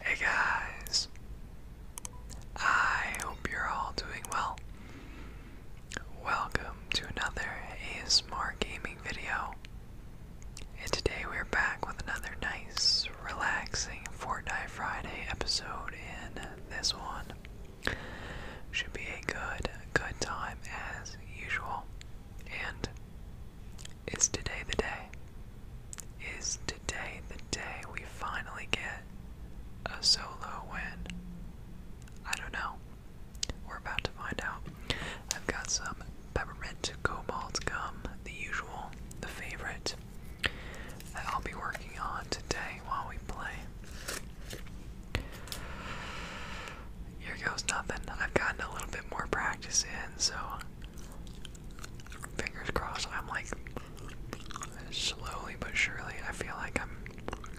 Hey guys, I hope you're all doing well. Welcome to another ASMR gaming video, and today we're back with another nice, relaxing Fortnite Friday episode. In this one, should be a good, good time as usual. And it's today the day? Is today the day we finally get a solo win? I don't know. We're about to find out. I've got some peppermint cobalt gum, the usual, the favorite, that I'll be working on today while we play. Here goes nothing. I've gotten a little bit more practice in, so fingers crossed. I'm like slowly but surely. I feel like I'm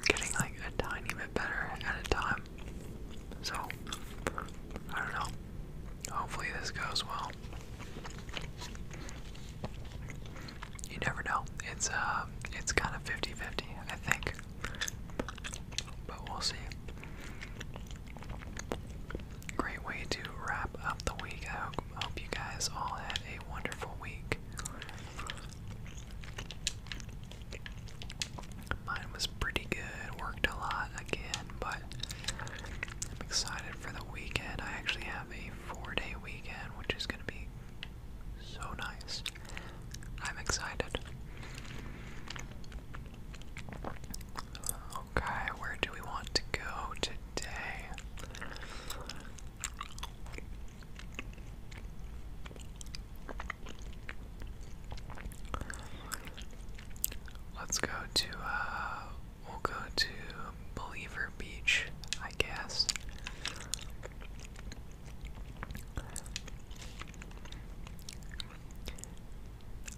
getting like a tiny bit better at a time. So I don't know. Hopefully this goes well you never know. It's uh, it's kind of 50-50, I think. But we'll see. Great way to wrap up the week. I hope you guys all had a wonderful week. Mine was pretty good. Worked a lot again, but I'm excited for the weekend. I actually have a four-day weekend, which is going to be so nice. I'm excited. Okay, where do we want to go today? Let's go to, uh, we'll go to Believer Beach, I guess.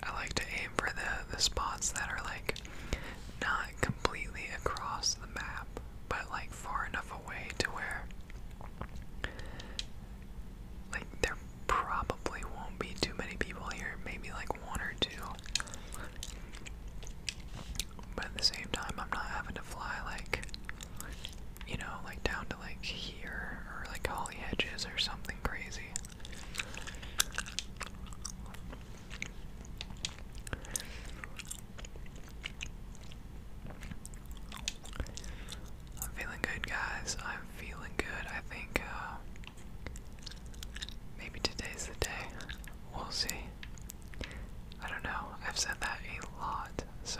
I like to aim for the the spots that are like not completely across the map, but like far enough away to where like there probably won't be too many people here, maybe like one or two. But at the same time, I'm not having to fly like you know, like down to like here or like holly hedges or something crazy. I'm feeling good, guys. I'm feeling good. I think uh, maybe today's the day. We'll see. I don't know. I've said that a lot. So,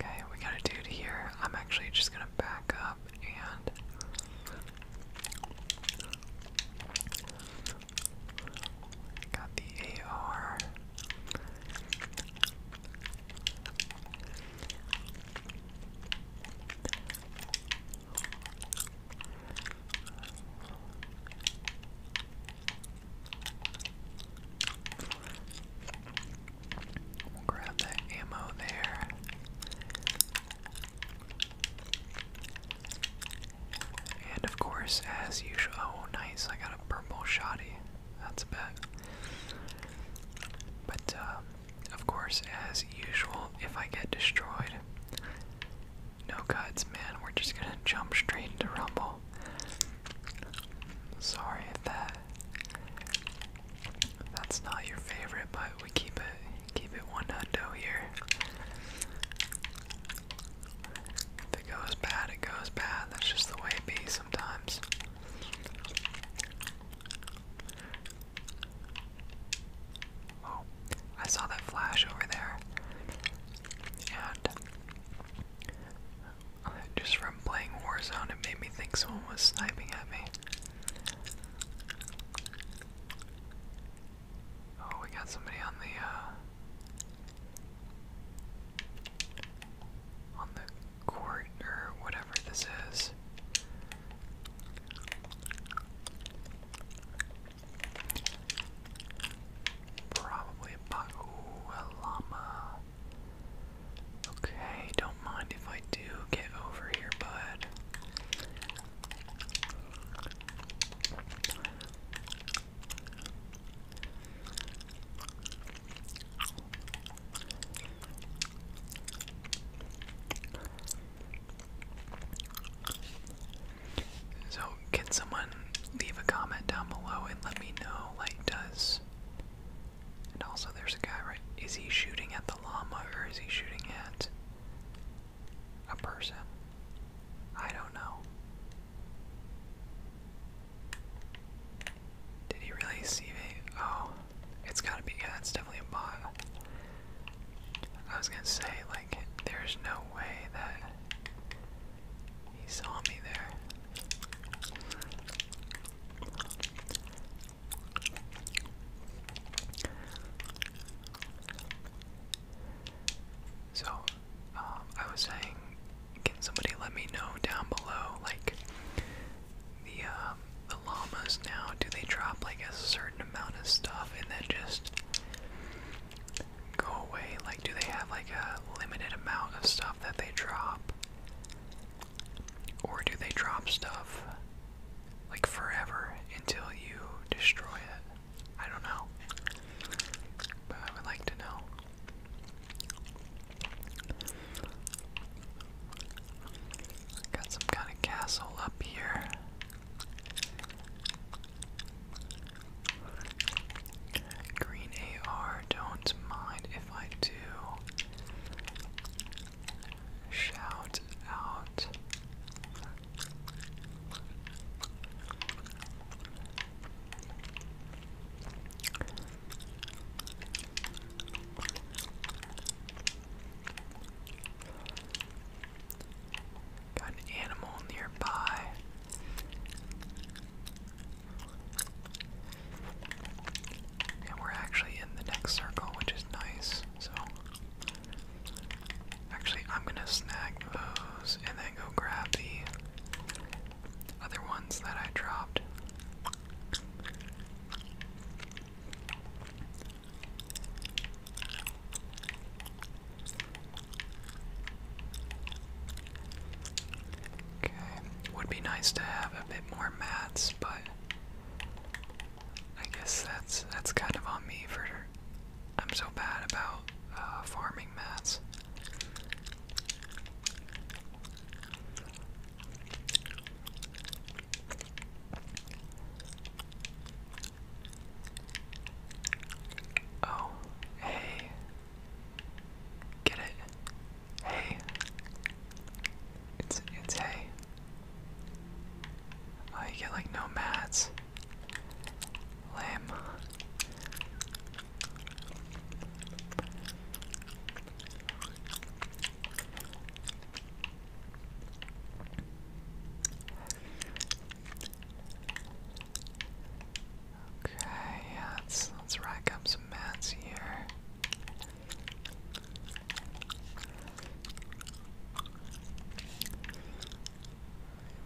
okay, we got a dude here. I'm actually just gonna back up and. Got the AR grab that ammo there. And of course, as usual, oh nice, I got a purple shoddy. That's a bet. But um, of course, as usual, if I get destroyed, no cuts, man. We're just gonna jump straight into Rumble. Sorry if that that's not your favorite, but we keep it keep it one hundo here. If it goes bad, it goes bad. That's just the way it be sometimes. Oh, I saw that flash over there. And just from playing Warzone, it made me think someone was sniping at me. Oh, we got somebody on the, uh, on the court, or whatever this is. Probably a pot. a llama. Okay, don't mind if I do. Get over here, bud. So, can someone leave a comment down below and let me know, like, does. And also, there's a guy right. Is he shooting at the llama or is he shooting at a person? I don't know. Did he really see me? Oh, it's gotta be. Yeah, it's definitely a bot. I was gonna say, like, there's no way that he saw me there. So, um, I was saying, can somebody let me know down below, like, the, um, the llamas now, do they drop, like, a certain amount of stuff and then just go away? Like, do they have like a limited amount of stuff that they drop? Or do they drop stuff like forever until you destroy it? I don't know. But I would like to know. Got some kind of castle up here. Green AR, don't mind if I do. Shout out. Got an animal nearby. And we're actually in the next circle, which is nice. So, actually, I'm gonna snag those and then go grab the other ones that I dropped. Okay, would be nice to have a bit more mats, but I guess that's that's kind of on me for. I'm so bad about uh, farming mats. Oh, hey, Get it? Hey. It's it's hay. Oh, you get like no mats. Okay, yeah, let's, let's rack up some mats here.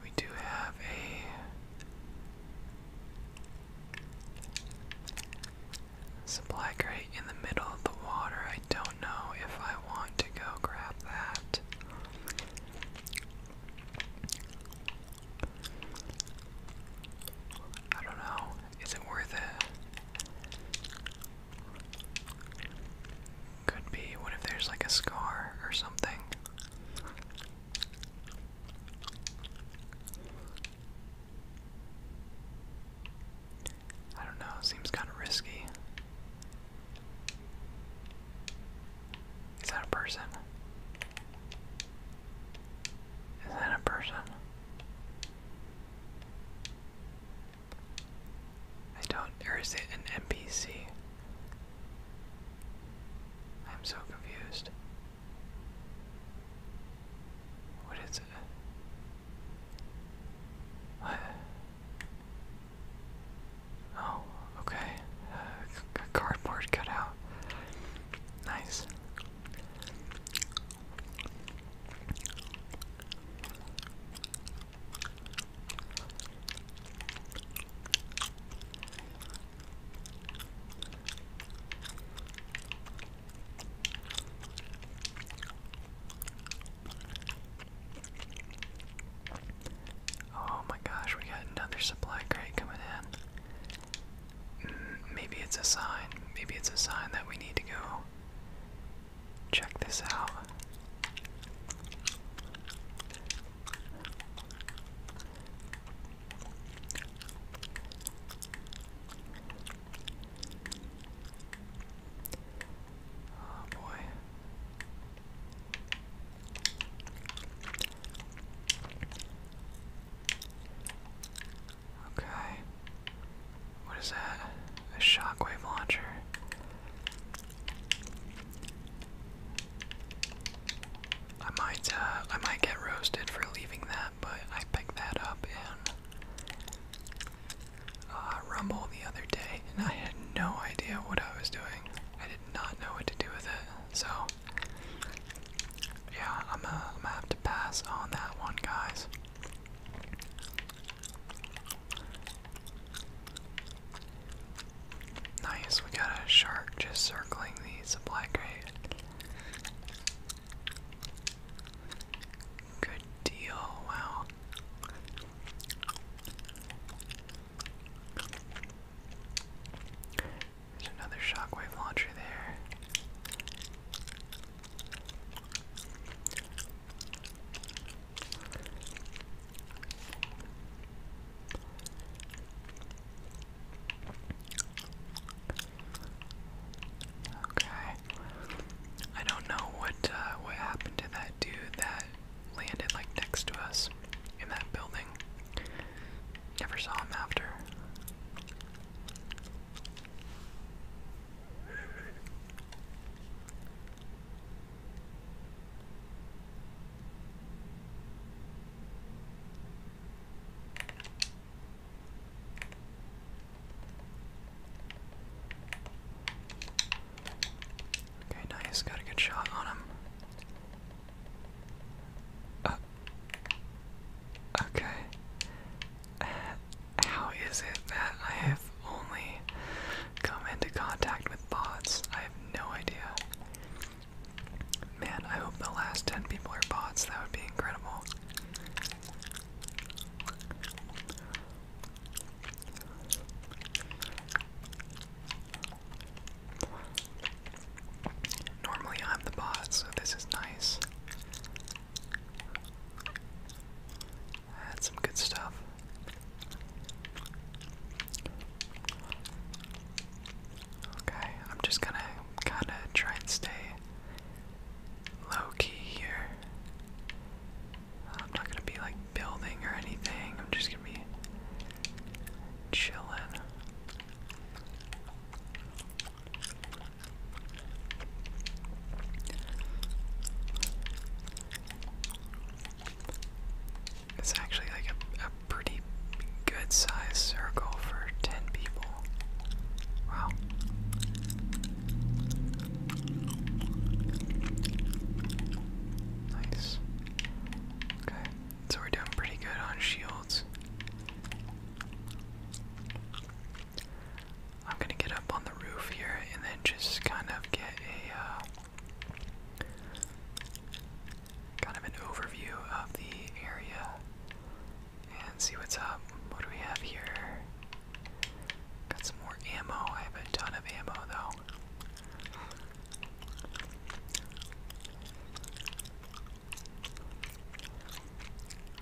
We do have a supply crate in the middle of the water. I don't know if I want to go grab that. I don't know. Is it worth it? Could be. What if there's like a scar or something? I don't know. Seems kind of risky. Is that a person? Is that a person? I don't, or is it an NPC? I'm so confused. What is it? Oh, okay. a uh, cardboard cutout. Nice. Oh my gosh, we got another supply crate coming in. Mm, maybe it's a sign. Maybe it's a sign that we need to go check this out. Oh boy. Okay. What is that? A shockwave launcher. I might uh I might get roasted for leaving that, but I picked that up in uh, Rumble the other day and I had no idea what I was doing. I did not know what to do with it. So yeah, I'm gonna, have to pass on that one, guys. Nice, we got a shark just circling the supply crate. Good deal, wow. There's another shockwave launcher there. Okay. I don't know what uh, what happened to that dude that landed like next to us in that building. Never saw him after. Okay, nice. Got a good shot on him. Uh, okay. Uh, how is it that I have only come into contact with bots? I have no idea. Man, I hope the last 10 people are bots. That would be incredible. Normally I'm the bot, so this is nice. That's good stuff. Okay, I'm just gonna kinda try and stay low key here. I'm not gonna be like building or anything, I'm just gonna be chilling. It's actually like a, pretty good sized circle for 10 people. Wow. Nice. Okay. So we're doing pretty good on shields. I'm gonna get up on the roof here and then just kind of get a uh, kind of an overview of the area and see what's up. What do we have here? Got some more ammo. I have a ton of ammo though.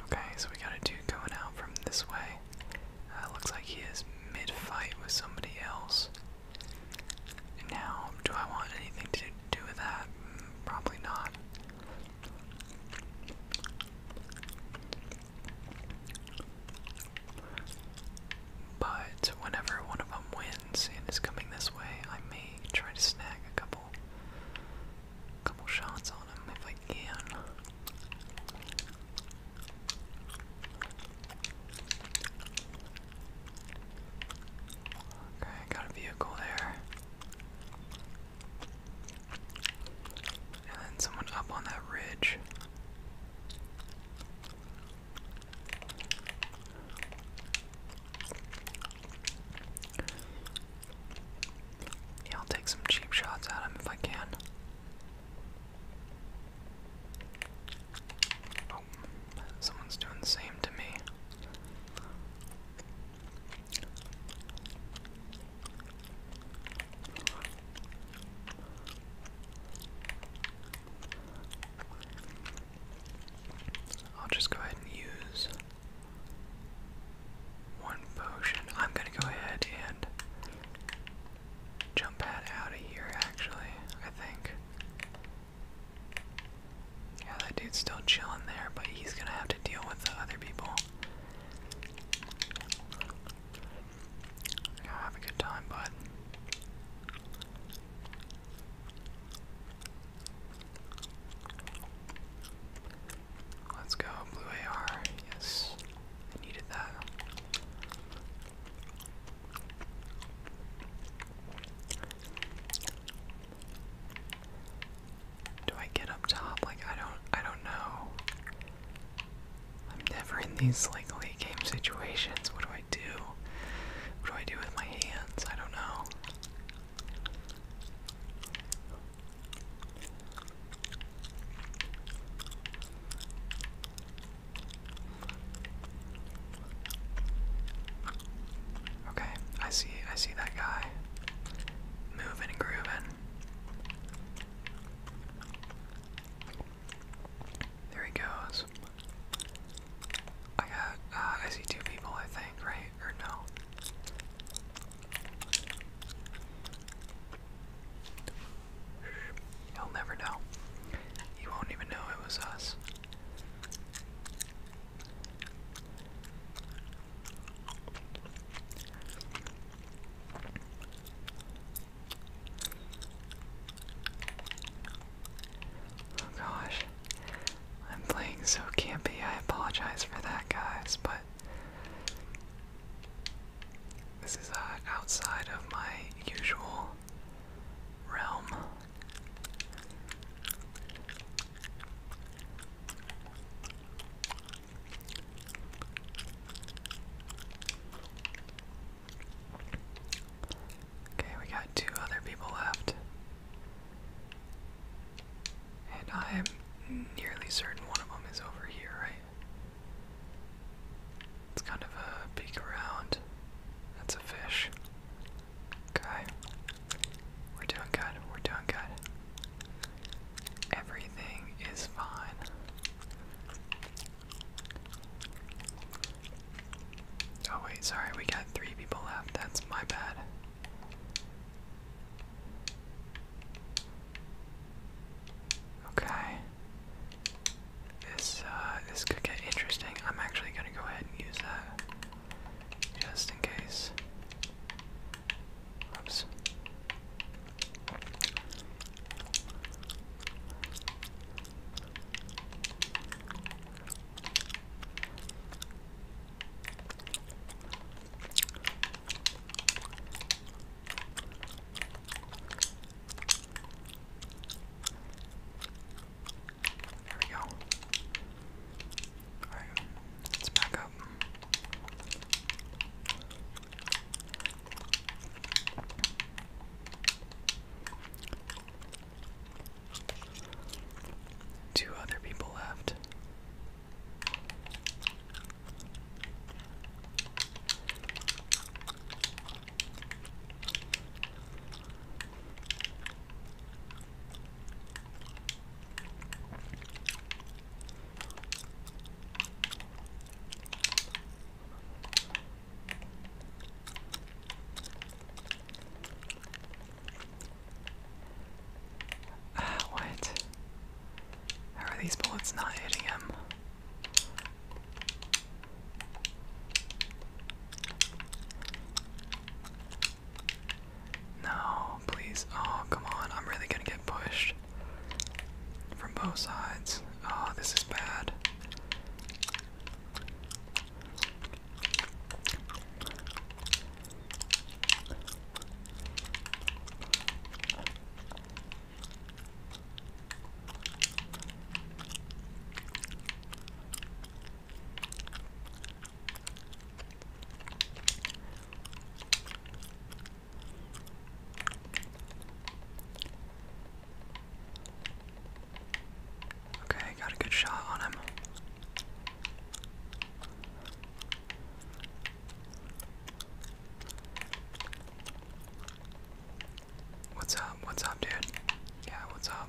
Okay, so we got a dude going out from this way. Uh, looks like he is mid fight with somebody else. now, do I want anything to do with that? Mm, probably not. But whenever one of them wins and is coming this way, I may try to snag a couple couple, shots on him if I can. Okay, got a vehicle there. And then someone up on that ridge. I'll take some cheap shots at him if I can. Oh, someone's doing the same to me. I'll just go ahead and use one potion. I'm gonna go ahead and jump out of here, actually, I think. Yeah, that dude's still chilling there, but he's gonna have to deal with the other people. have a good time, bud. Let's go, blue AR. Yes, I needed that. Do I get up top? Like I don't, I don't know. I'm never in these like late game situations. What do I do? What do I do with my hands? I don't know. Okay, I see I see that guy moving and grooving. There he goes. I got, uh, I see two people, I think, right? Or no? He'll never know. He won't even know it was us. Oh gosh. I'm playing so campy. I apologize for that, guys, but this is uh, outside of my usual realm. Okay, we got two other people left. And I am nearly certain one of them is over here, right? It's kind of a peek around. That's a fish. Okay. We're doing good. We're doing good. Everything is fine. Oh, wait, sorry. We got three people left. That's my bad. Okay. This uh this could get interesting. I'm actually gonna go ahead and use that just in case. Oops. There we go. Alright, let's back up. Two other people left. Uh, what? How are these bullets not hitting him? No, please. Oh, come on. I'm really gonna get pushed from both sides. Oh, this is bad. Okay, got a good shot on him. What's up? What's up, dude? Yeah, what's up?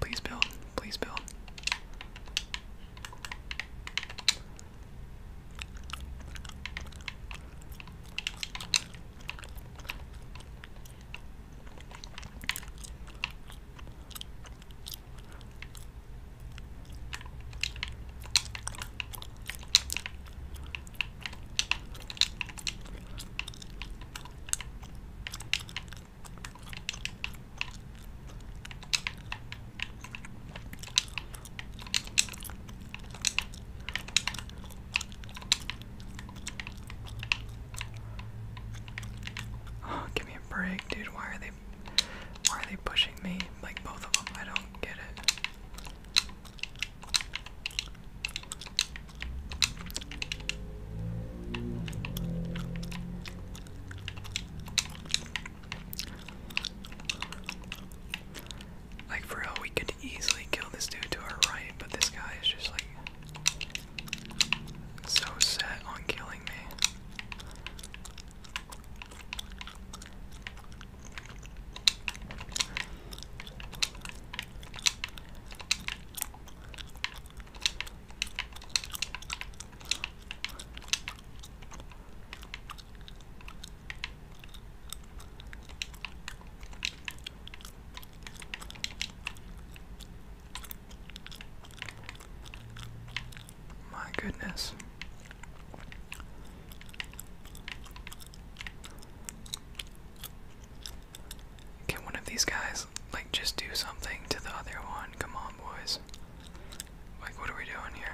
Please build. Please build. Oh, give me a break, dude. Why are they why are they pushing me? Like both of them. I don't get it. Like for we could easily kill this dude to our right, but this guy is just like so set on killing me. My goodness. Can one of these guys, like, just do something to the other one? Come on, boys. Like, what are we doing here?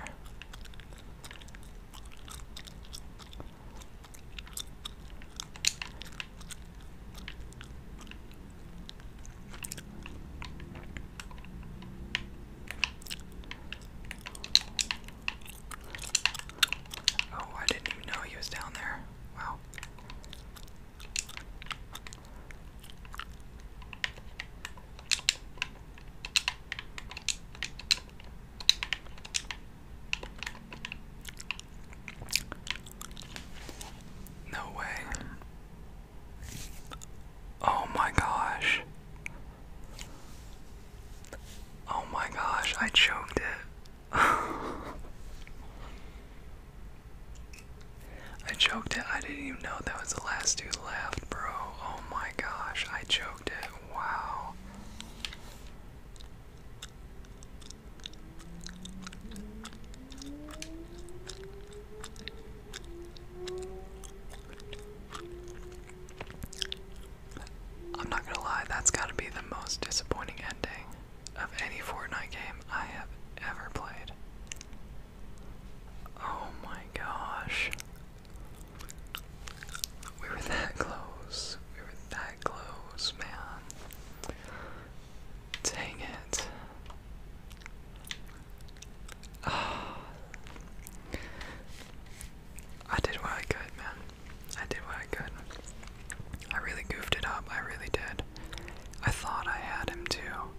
Oh, I didn't know he was down there. Wow. No way. Oh my gosh. Oh my gosh, I choked it. I choked it. I didn't even know that was the last dude left, bro. Oh my gosh, I choked it. Wow. I'm not gonna lie, that's gotta be the most disappointing ending of any Fortnite game I have ever played. Oh my gosh. We were that close. We were that close, man. Dang it. I did what I could, man. I did what I could. I really goofed it up, I really did. I thought I had him too.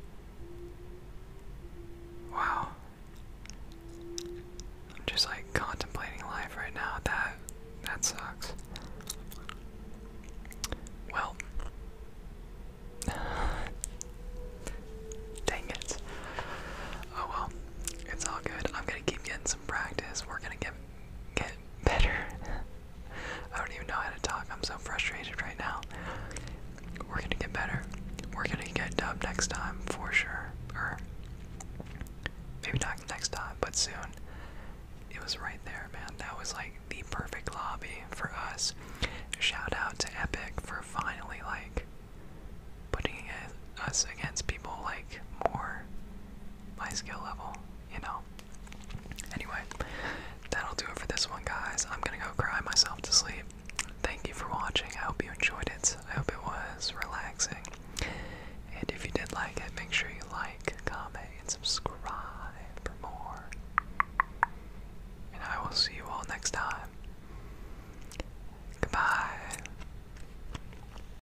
Wow. I'm just like contemplating life right now. That that sucks. Well Dang it. Oh well. It's all good. I'm gonna keep getting some practice. We're gonna get get better. I don't even know how to talk. I'm so frustrated right now. We're gonna get better. We're gonna get dubbed next time for sure. Or maybe not next time, but soon. It was right there, man. That was like the perfect lobby for us. Shout out to Epic for finally like putting us against people like more my skill level, you know. Anyway, that'll do it for this one, guys. I'm gonna go cry myself to sleep. Thank you for watching. I hope you enjoyed it. I hope it was relaxing. And if you did like it, make sure you like, comment, and subscribe for more. And I will see you all next time. Goodbye.